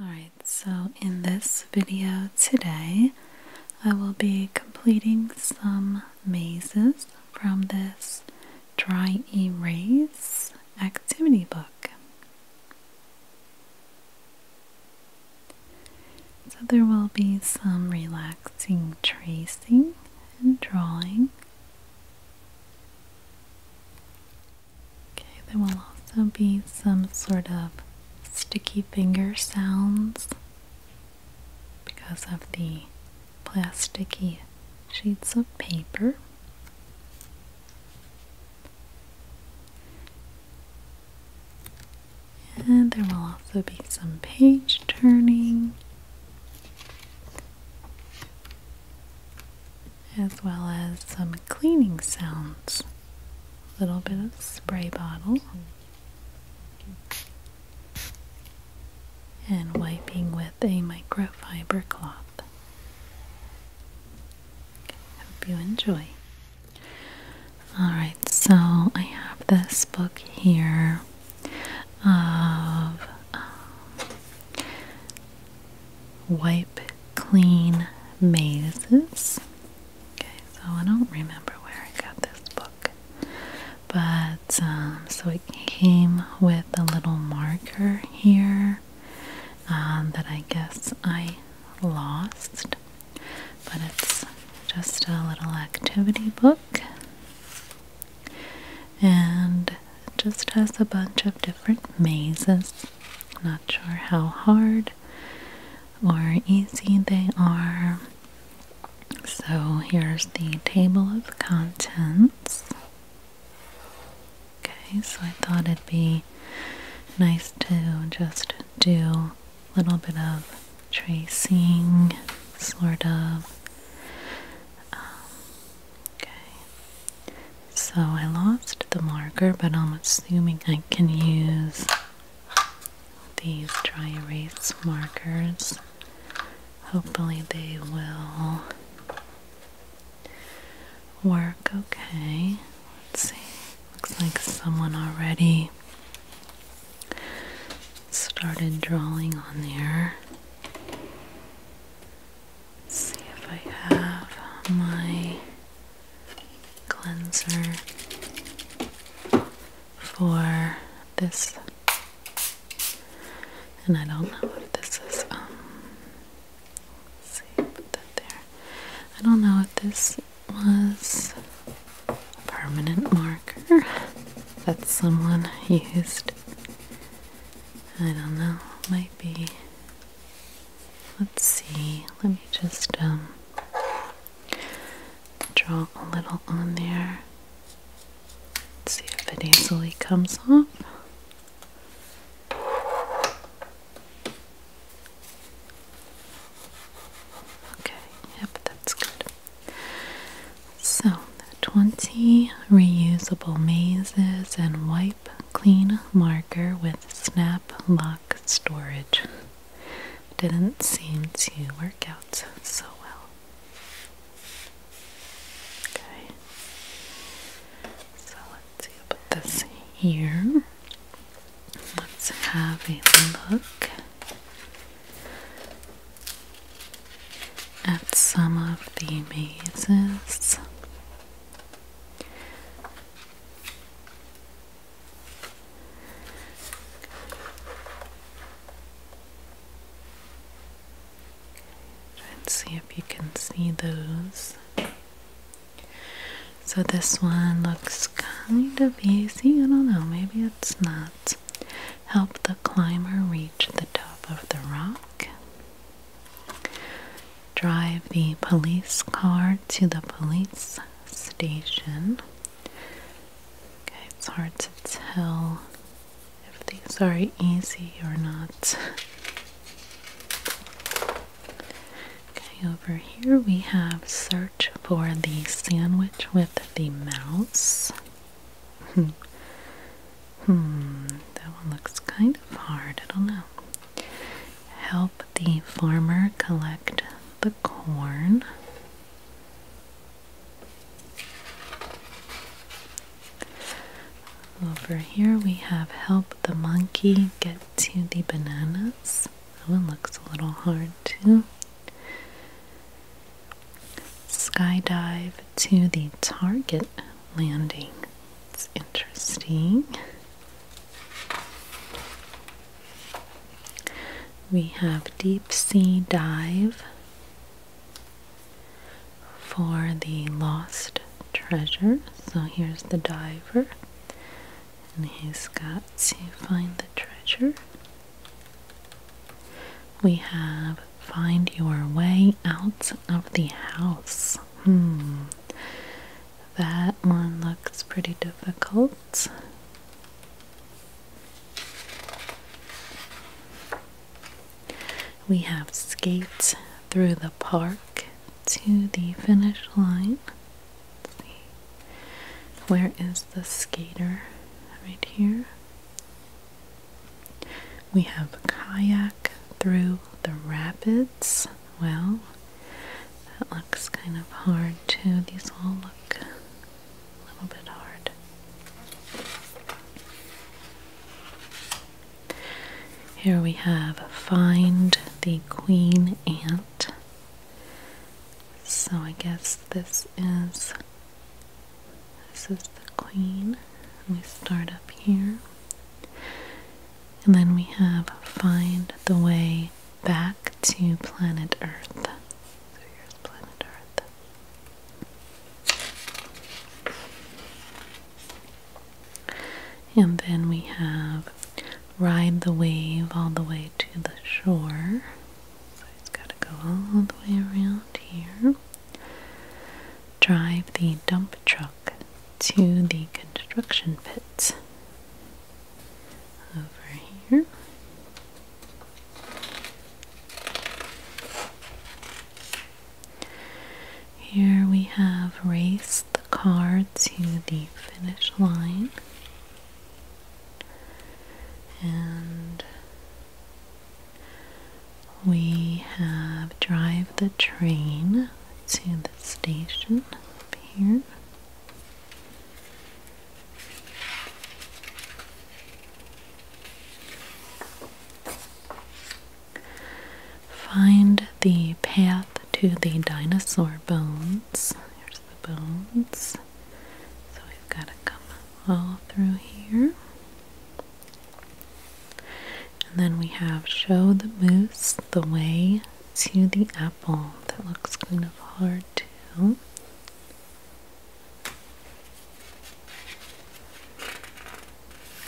Alright, so in this video today, I will be completing some mazes from this dry erase activity book. So there will be some relaxing tracing and drawing. Okay, there will also be some sort of sticky finger sounds because of the plasticky sheets of paper. And there will also be some page turning as well as some cleaning sounds. A little bit of spray bottle and wiping with a microfiber cloth. Hope you enjoy. Alright, so I have this book here of um, wipe clean mazes. Okay, so I don't remember where I got this book, but um, so it came with a little marker here um, that I guess I lost, but it's just a little activity book and it just has a bunch of different mazes not sure how hard or easy they are. So here's the table of contents. Okay, so I thought it'd be nice to just do a little bit of tracing, sort of. Um, okay, so I lost the marker, but I'm assuming I can use these dry erase markers. Hopefully, they will work okay. Let's see. Looks like someone already started drawing on there. Let's see if I have my cleanser for this. And I don't know if this is, um, see, put that there. I don't know what this was a permanent marker that someone used. I don't know, might be Let's see, let me just um, draw a little on there. see if it easily comes off. Okay, yep, that's good. So, 20 reusable mazes and white clean marker with snap lock storage. Didn't seem to work out so well. Okay. So let's see about this here. Let's have a look at some of the mazes. Let's see if you can see those. So this one looks kind of easy. I don't know, maybe it's not. Help the climber reach the top of the rock drive the police car to the police station. Okay, it's hard to tell if these are easy or not. Okay, over here we have search for the sandwich with the mouse. Hmm. hmm that one looks kind of hard. I don't know help the farmer collect the corn. Over here we have help the monkey get to the bananas. That one looks a little hard too. Skydive to the target landing. It's interesting. We have deep sea dive for the lost treasure. So here's the diver, and he's got to find the treasure. We have find your way out of the house. Hmm. That one looks pretty difficult. We have skates through the park to the finish line. Where is the skater? Right here. We have kayak through the rapids well. That looks kind of hard too. These all look a little bit hard. Here we have Find the Queen Ant. So I guess this is this is the queen. We start up here. And then we have Find the Way Back to Planet Earth. So here's Planet Earth. And then we have Ride the Wave All the Way to the Shore. So it's got to go all the way around here. Drive the dump truck to the construction pit over here. Here we have raced the car to the finish line. And we have drive the train to the station up here. Find the path to the dinosaur bones. Here's the bones. So we've got to come all through here. And then we have show the moose the way to the apple. That looks kind of hard too.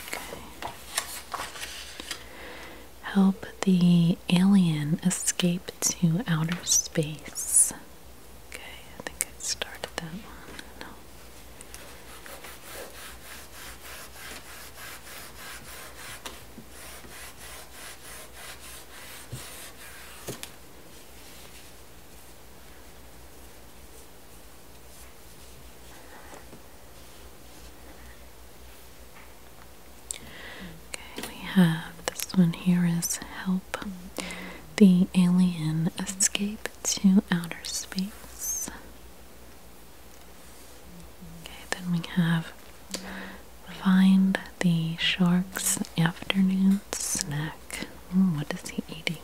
Okay. Help the alien escape to outer space. Okay, I think I started that one. No. Okay, we have this one here is help the alien escape to outer space. Okay, then we have find the shark's afternoon snack. what is he eating?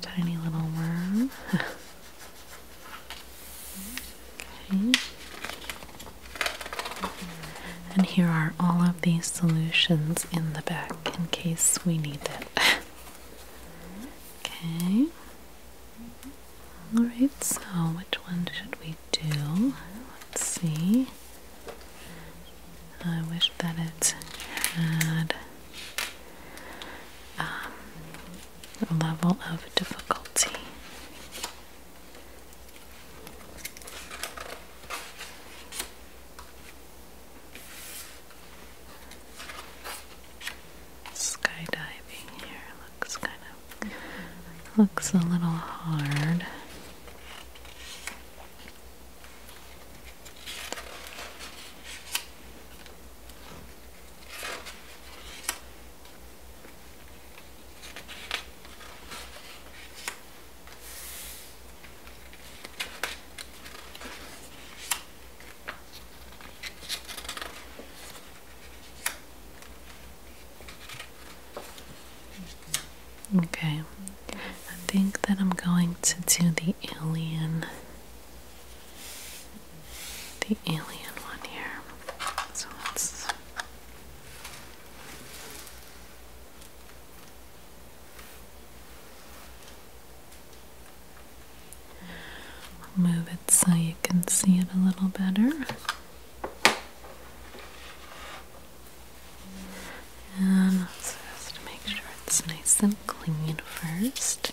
tiny little worm. okay. And here are all of these solutions in the back in case we need it. okay. Alright, so which one should we do? Let's see. I wish that it had um, a level of difficulty. Skydiving here looks kind Looks a little hard. Okay, I think that I'm going to do the alien, the alien one here. So let's. Move it so you can see it a little better. And just to make sure it's nice and clean first.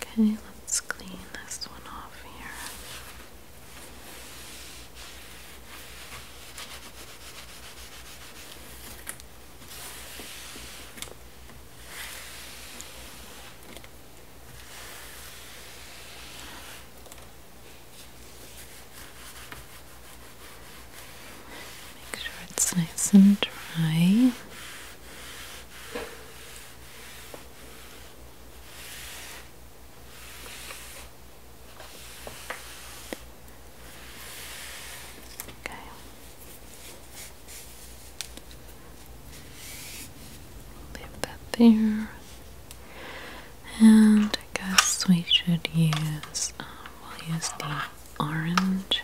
Okay, let's clean this one off here. Make sure it's nice and dry. Okay. Leave that there. And I guess we should use, um, we'll use the orange.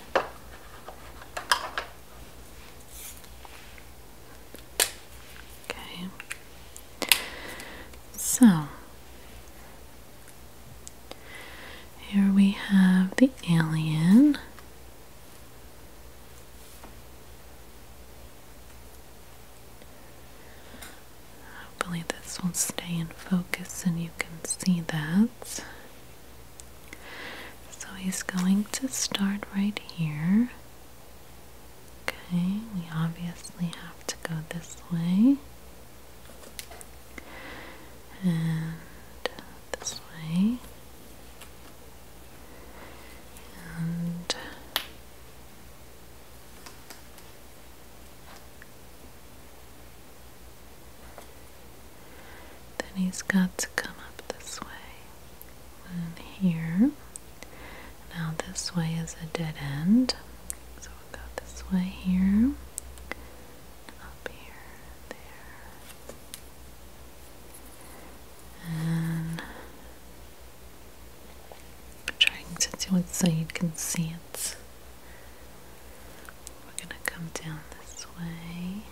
Okay. So here we have the alien. Hopefully, this will stay in focus and you can see that. So he's going to start right here. Okay, we obviously have to go this way. And this way. And then he's got to come up this way and here. Now this way is a dead end. So we'll go this way here. Up here, there. And trying to do it so you can see it. We're gonna come down this way.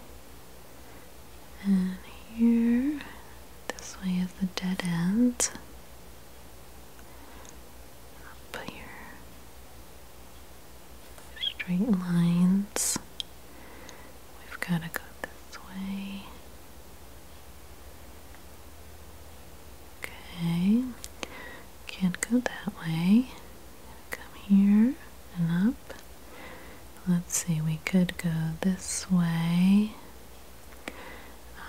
And here, this way is the dead end. Up here, straight lines. We've got to go this way. Okay, can't go that way. Come here and up. Let's see, we could go this way.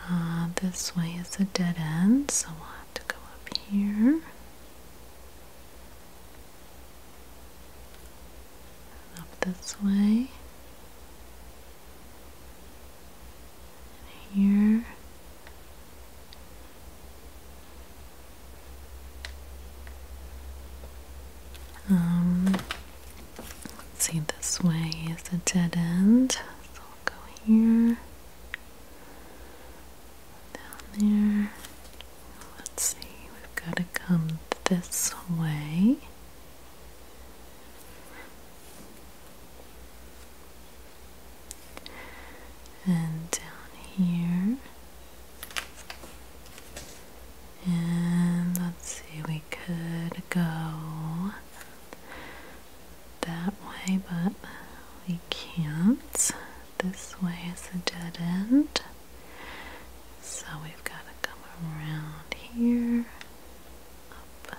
Uh, this way is a dead end, so we'll have to go up here. Up this way. here. Um, Let's see, this way is a dead end, so I'll go here, down there. Let's see, we've got to come this way. And down here. And let's see, we could go that way, but we can't. This way is a dead end. So we've got to come around here, up,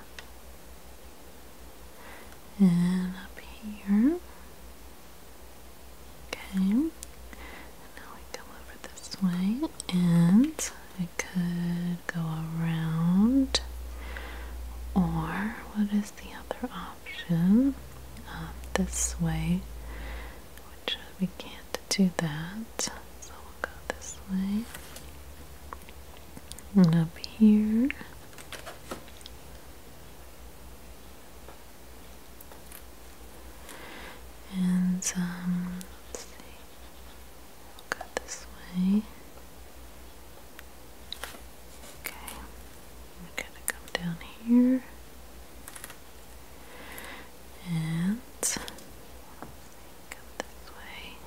and up here. Okay, now we come over this way and I could go around or what is the other option? Um, this way, which we can't do that, so we'll go this way and up here. And um, let's see. go this way. Okay. We're gonna come down here. And come this way.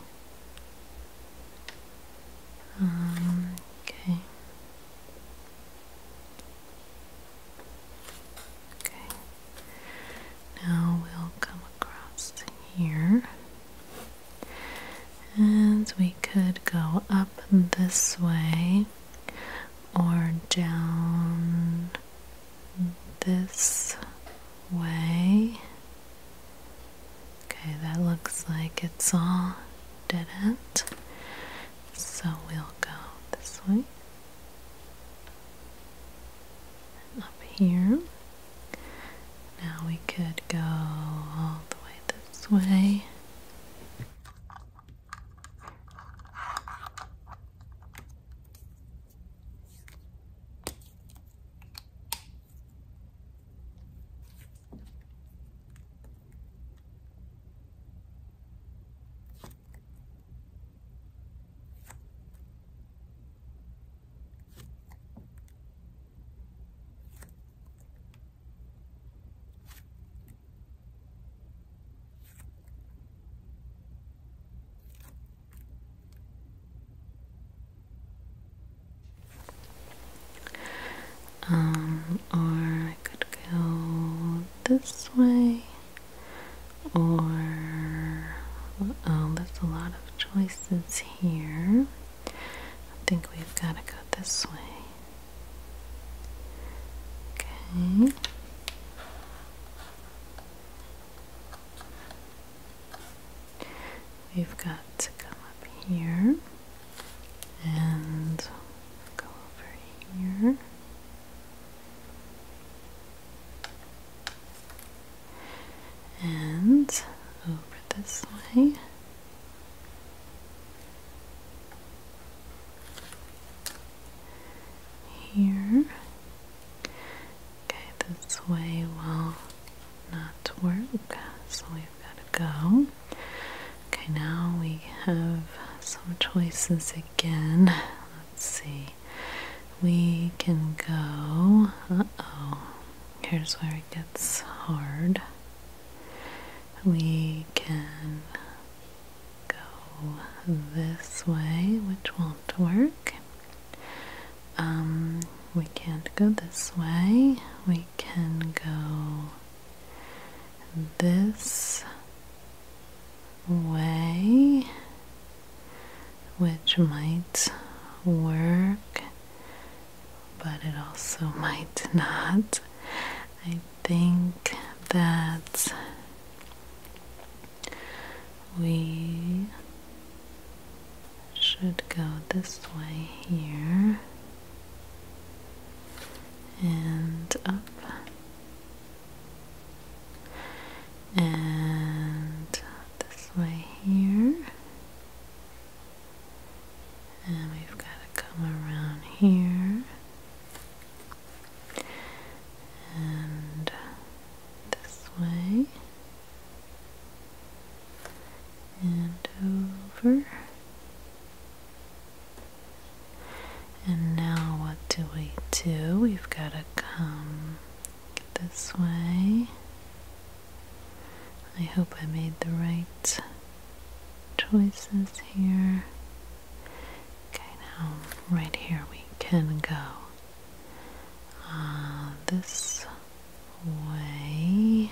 Um, okay. Okay. Now we'll come across here. And we could go up this way or down this way. Okay, that looks like it's all dead end. So we'll go this way up here. Now we could go all the way this way. Um, or I could go this way or oh, there's a lot of choices here. I think we've got to go this way. Okay. We've got to come up here and go over here and over this way. Here. Okay, this way will not work, so we've got to go. Okay, now we have some choices again. Let's see we can go. Uh oh, here's where it gets hard. We can go this way, which won't work. Um, we can't go this way. We can go this way which might work, but it also might not. I think that we should go this way here and up and this way here and we've got to come around here and this way and over and now what do we do? We've got to come this way. I hope I made the right choices here. Okay, now right here we can go uh, this way.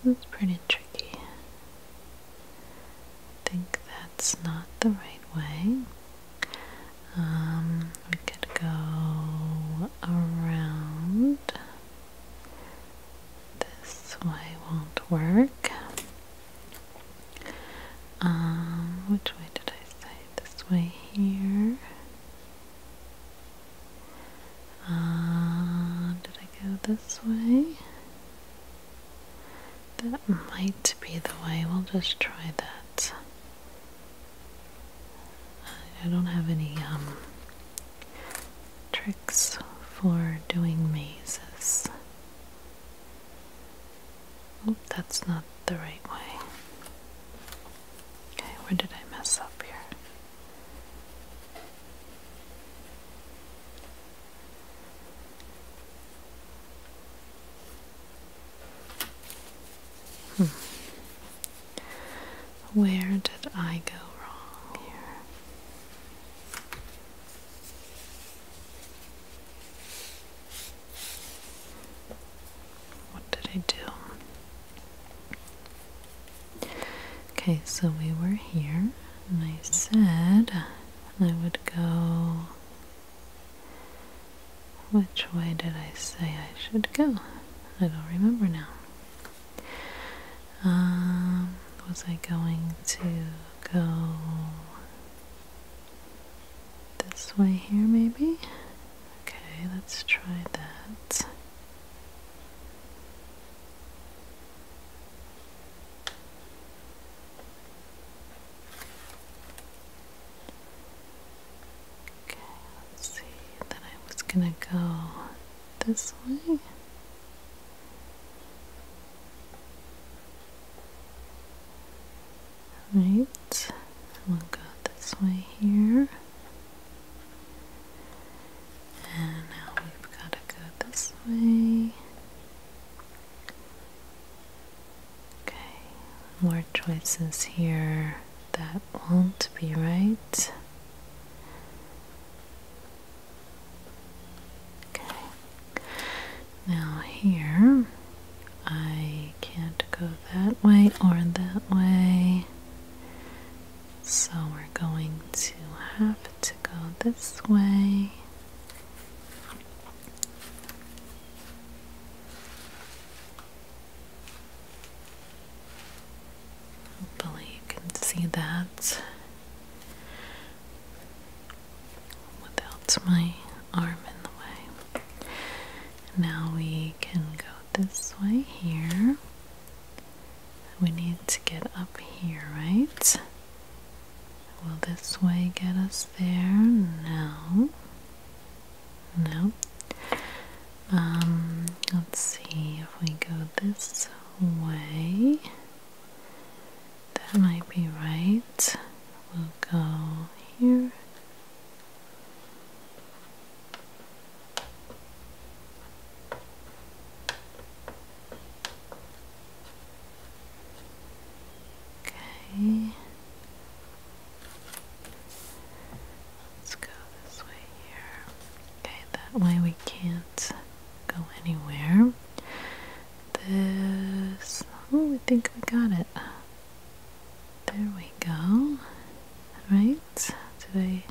This is pretty tricky. I think it's not the right way. Um, we could go around. This way won't work. Um, which way did I say? This way here. Uh, did I go this way? That might be the way. We'll just try that. I don't have any um, tricks for doing mazes. Oh, that's not the right way. Okay, where did I mess up here? Hmm. Where did I go wrong here? What did I do? Okay, so we were here, and I said I would go which way did I say I should go? I don't remember now. Um, was I going to go this way here, maybe? Okay, let's try that. Okay, let's see. Then I was gonna go this way. Right, we'll go this way here. And now we've got to go this way. Okay, more choices here that won't be right. Okay, now here I can't go that way or that way, so we're going to have to go this way. Hopefully, you can see that. Without my arm in the way. Now we can go this way here. We need to get up here, right? Will this way get us there? now? No. Um, let's see if we go this way. That might be right. We'll go here. Okay. Let's go this way here. Okay, that way we can't go anywhere. This. Oh, I think we got it. There we go. Alright, did I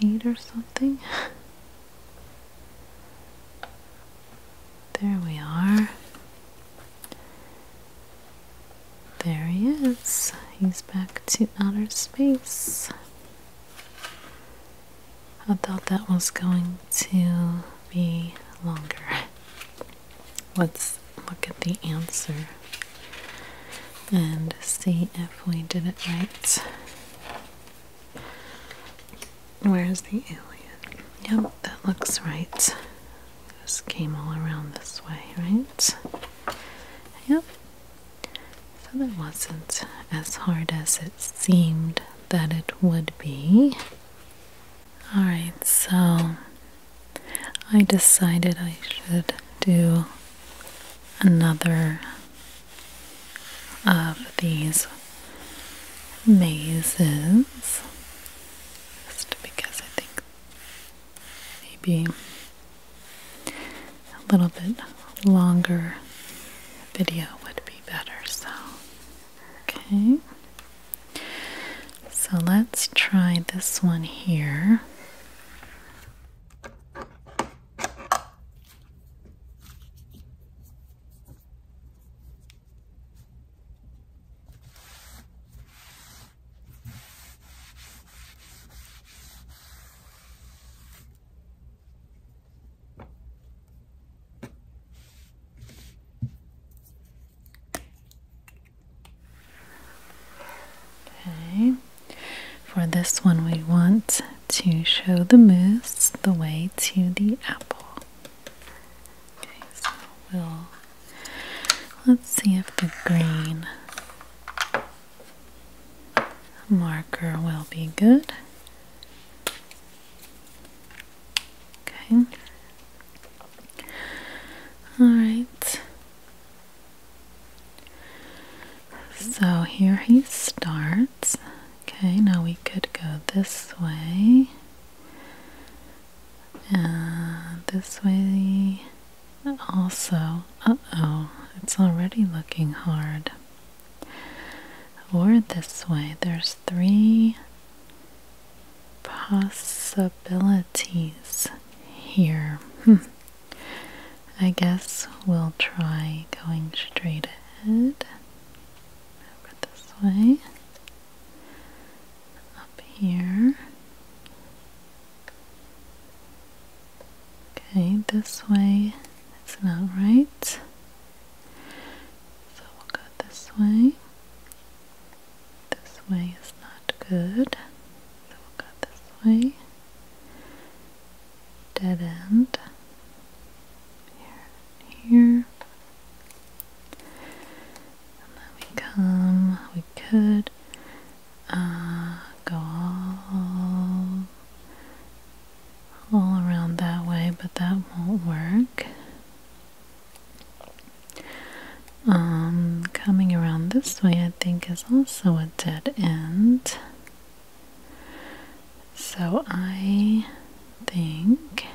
cheat or something? There we are. There he is. He's back to outer space. I thought that was going to be longer. Let's look at the answer and see if we did it right. Where's the alien? Yep, that looks right. This came all around this way, right? Yep. So that wasn't as hard as it seemed that it would be. Alright, so I decided I should do another of these mazes just because I think maybe a little bit longer video would be better. So, okay. So let's try this one here. Okay, for this one, we want to show the moose the way to the apple. Okay, so we'll let's see if the green marker will be good. Okay. All right. So here he starts. Okay, now we could go this way. And this way also, uh-oh, it's already looking hard. Or this way, there's three possibilities here. Hmm. I guess we'll try going straight ahead. Over this way up here. Okay, this way it's not right. So we'll go this way. This way is not good. So we'll go this way. Dead end. Here, here and then we come, we could uh, go all, around that way, but that won't work. Um, coming around this way, I think, is also a dead end. So I think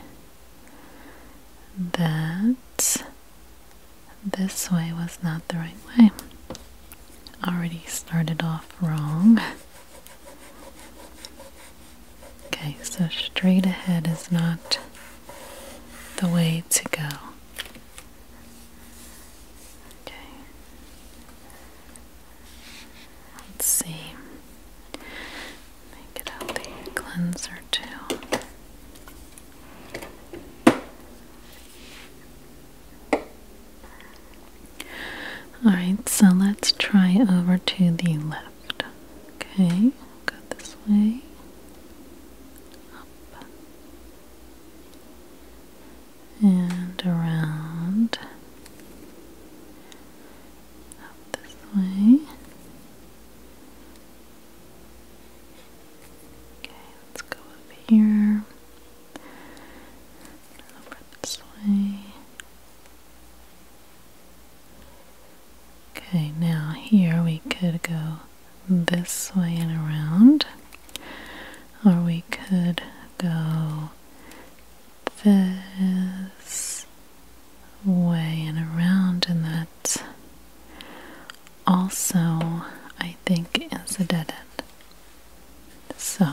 that this way was not the right way. Already started off wrong. Okay, so straight ahead is not the way to go. Okay. Let's see. Get out the cleanser too. Alright, so let's try over to the left. Okay, go this way. Up. And around. Up this way. Okay, let's go up here. Over this way. Okay, now here we could go this way and around, or we could go this way and around, and that also I think is a dead end. So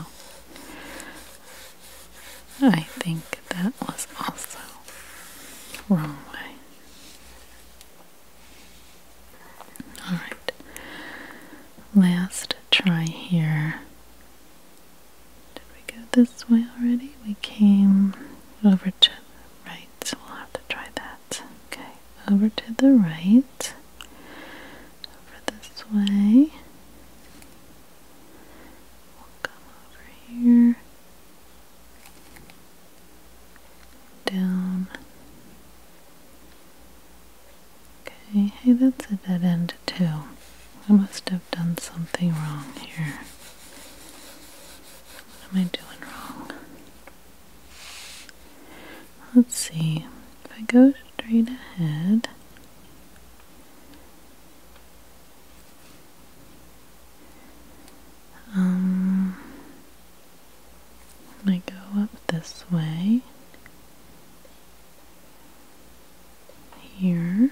I think that was also wrong way. Alright, last try here. Did we go this way already? We came over to right so we'll have to try that. Okay, over to the right, over this way. We'll come over here, down. Okay, hey, that's a dead end too. I must have done something wrong here. What am I doing wrong? Let's see. If I go straight ahead, um, I go up this way here.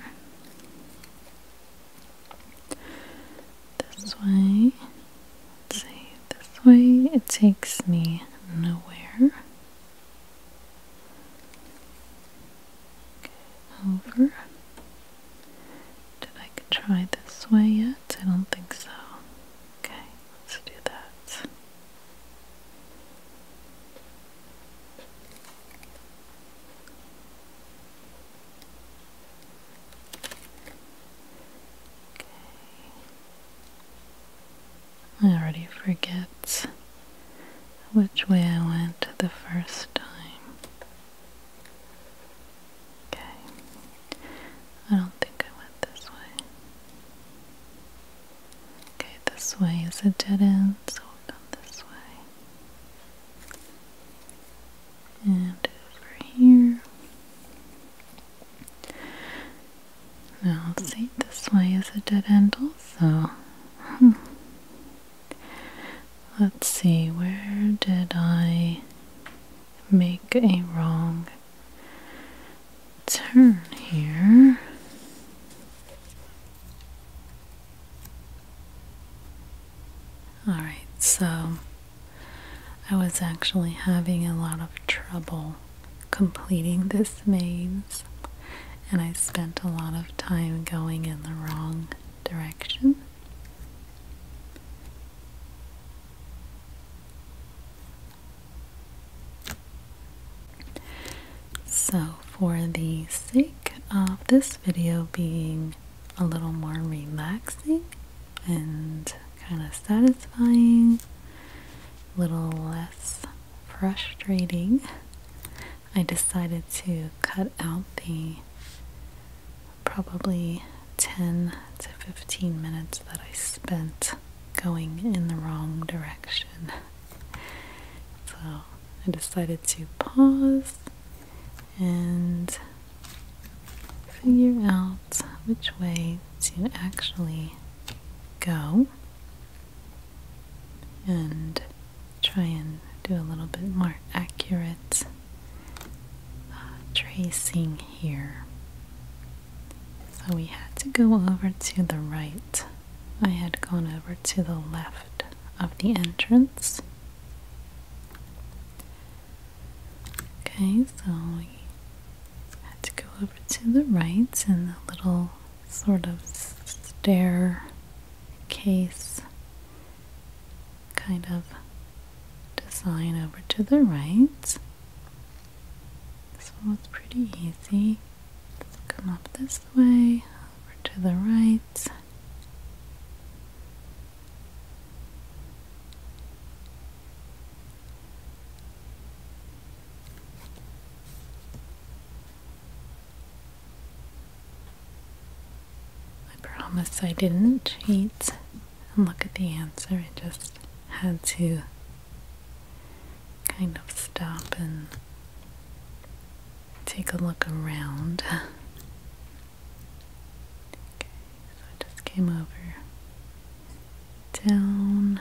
This way. let This way it takes me nowhere. over. Did I try this way yet? I don't think so. Okay, let's do that. I already forget which way I went the first time. Okay. I don't think I went this way. Okay, this way is a dead end, so I'll go this way and over here. Now let's see, this way is a dead end So, hmm. Let's see, where did I make a wrong turn here? Alright, so I was actually having a lot of trouble completing this maze, and I spent a lot of time going in the wrong direction. So, for the sake of this video being a little more relaxing and kind of satisfying, a little less frustrating. I decided to cut out the probably 10 to 15 minutes that I spent going in the wrong direction. So I decided to pause and figure out which way to actually go and try and do a little bit more accurate uh, tracing here. So we had to go over to the right. I had gone over to the left of the entrance. Okay, so we had to go over to the right and the little sort of stair case kind of design over to the right. This one was pretty easy. Let's come up this way, over to the right. I promise I didn't cheat and look at the answer. I just had to kind of stop and take a look around Okay, so I just came over down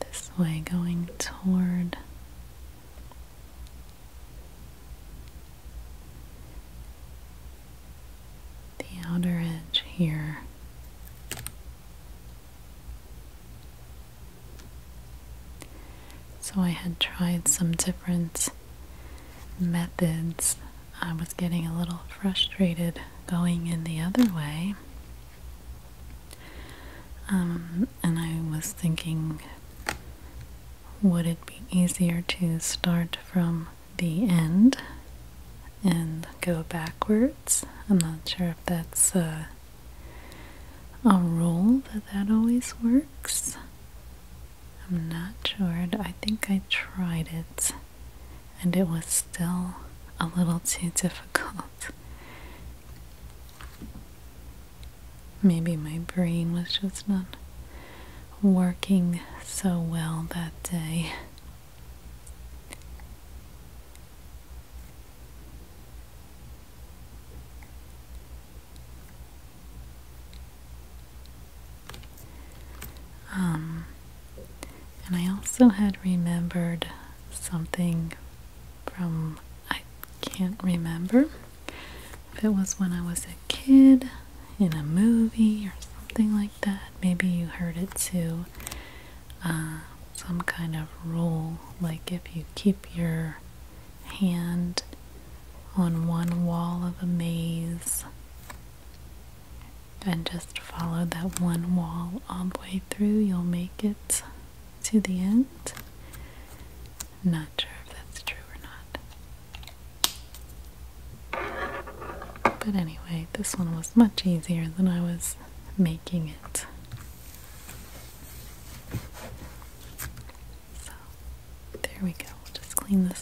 this way going toward the outer edge here. So I had tried some different methods I was getting a little frustrated going in the other way. Um, and I was thinking, would it be easier to start from the end and go backwards? I'm not sure if that's a rule that that always works. I'm not sure. I think I tried it and it was still a little too difficult. Maybe my brain was just not working so well that day. Um, and I also had remembered something from, I can't remember it was when I was a kid in a movie or something like that. Maybe you heard it too. Uh, some kind of rule, like if you keep your hand on one wall of a maze, and just follow that one wall all the way through. You'll make it to the end. Not sure if that's true or not. But anyway, this one was much easier than I was making it. So, there we go. just clean this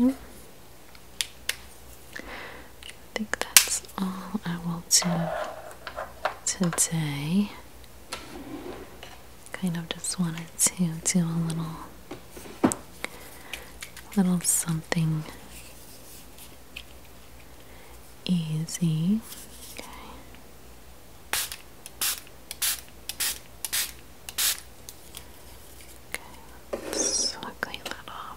Okay. I think that's all I will do today. Kind of just wanted to do a little little something easy. Okay. Okay, let's clean that off.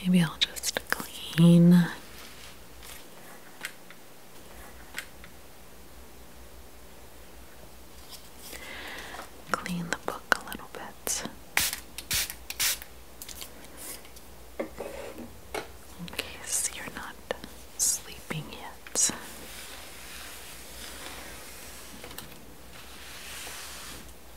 Maybe I'll just clean. Clean the book a little bit. In case you're not sleeping yet.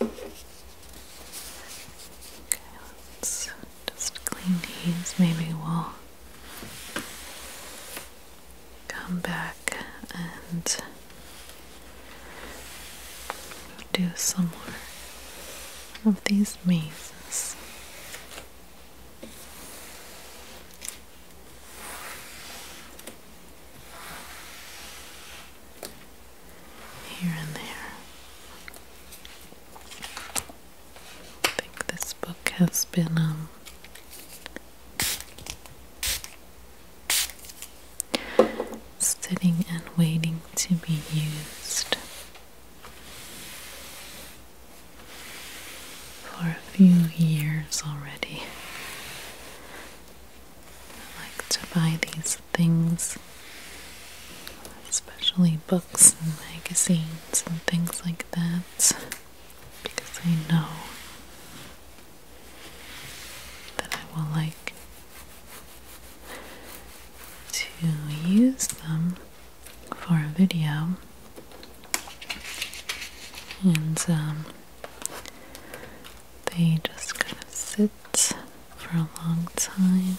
Okay, let's just clean these. Maybe we'll come back and do some more of these mazes here and there. I think this book has been um, sitting and waiting to be used for a few years already. I like to buy these things, especially books and magazines and things like that, because I know that I will like to use them for a video. And um, they just kind of sit for a long time,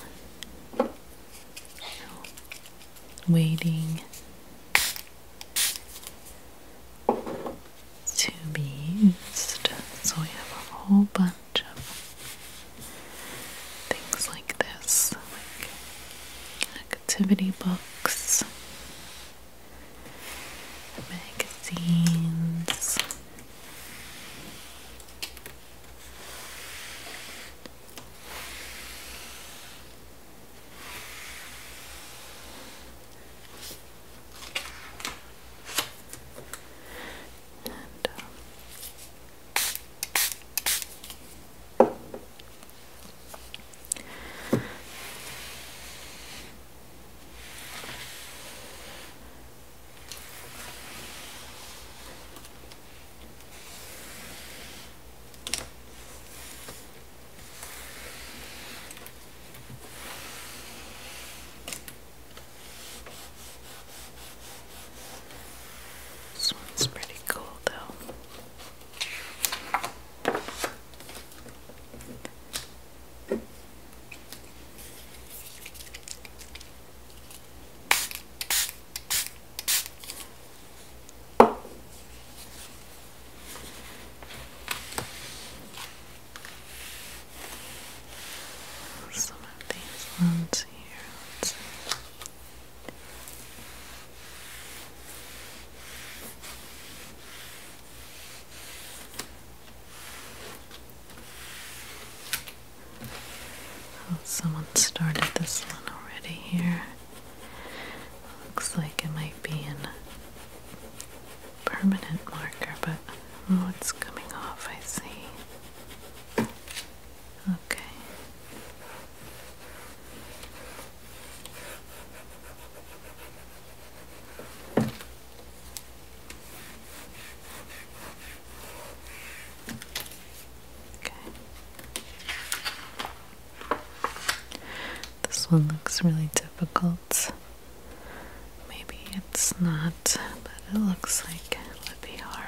waiting to be used. So we have a whole bunch of things like this, like activity books magazines. And, um, this one's pretty cool, though. Some of these ones here. Oh, someone started this one already here. Looks like it might be in permanent marker, but oh, it's coming off, I see. Okay. Okay. This one looks really difficult. Maybe it's not, but it looks like it would be hard.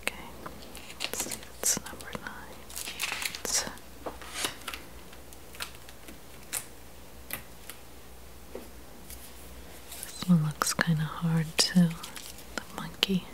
Okay, let number nine. It's this one looks kind of hard too. The monkey.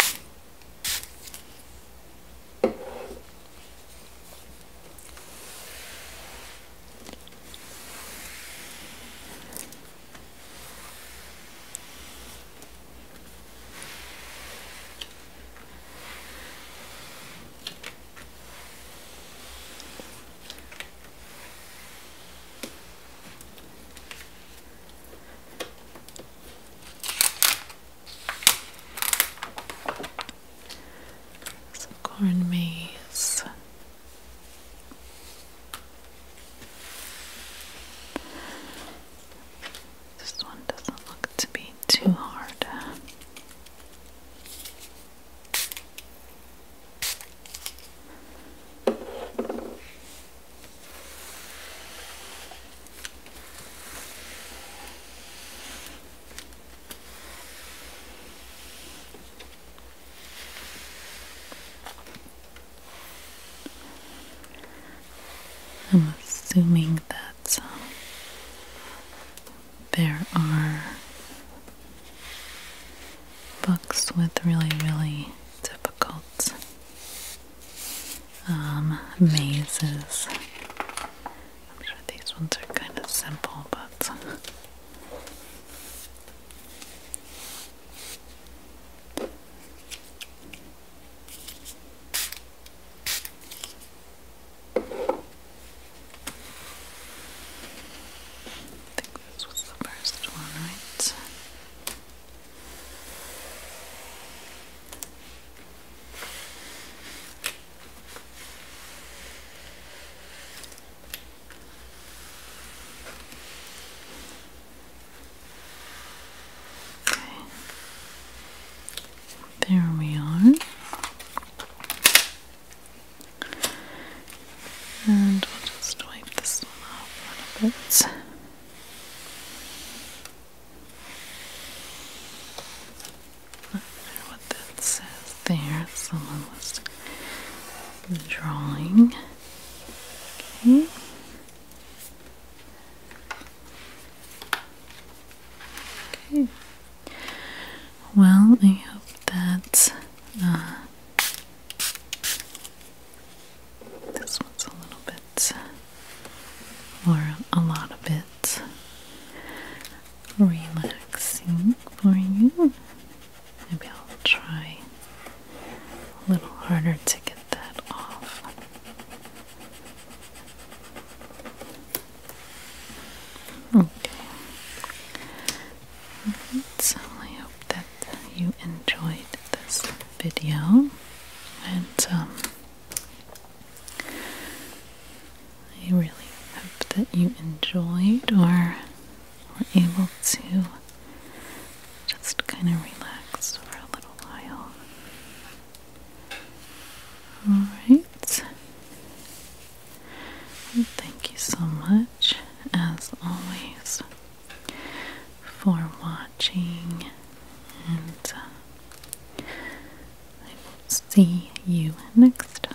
Some corn maze this one doesn't look to be too hard. I'm assuming that um, there are books with really, really difficult um, mazes. I'm sure these ones are kind of simple, but I think this was the first one, right? There we are. And we'll just wipe this one off a little bit. what that says there. Someone was drawing. Okay. Okay. Well, I hope that uh, this one's a little bit, or a lot of it, relaxing for you. Maybe I'll try a little harder to get that off. Okay. so I hope that you enjoyed this video, and um, I really hope that you enjoyed or we're able to just kind of relax for a little while. Alright. thank you so much, as always, for watching, and uh, I will see you next time.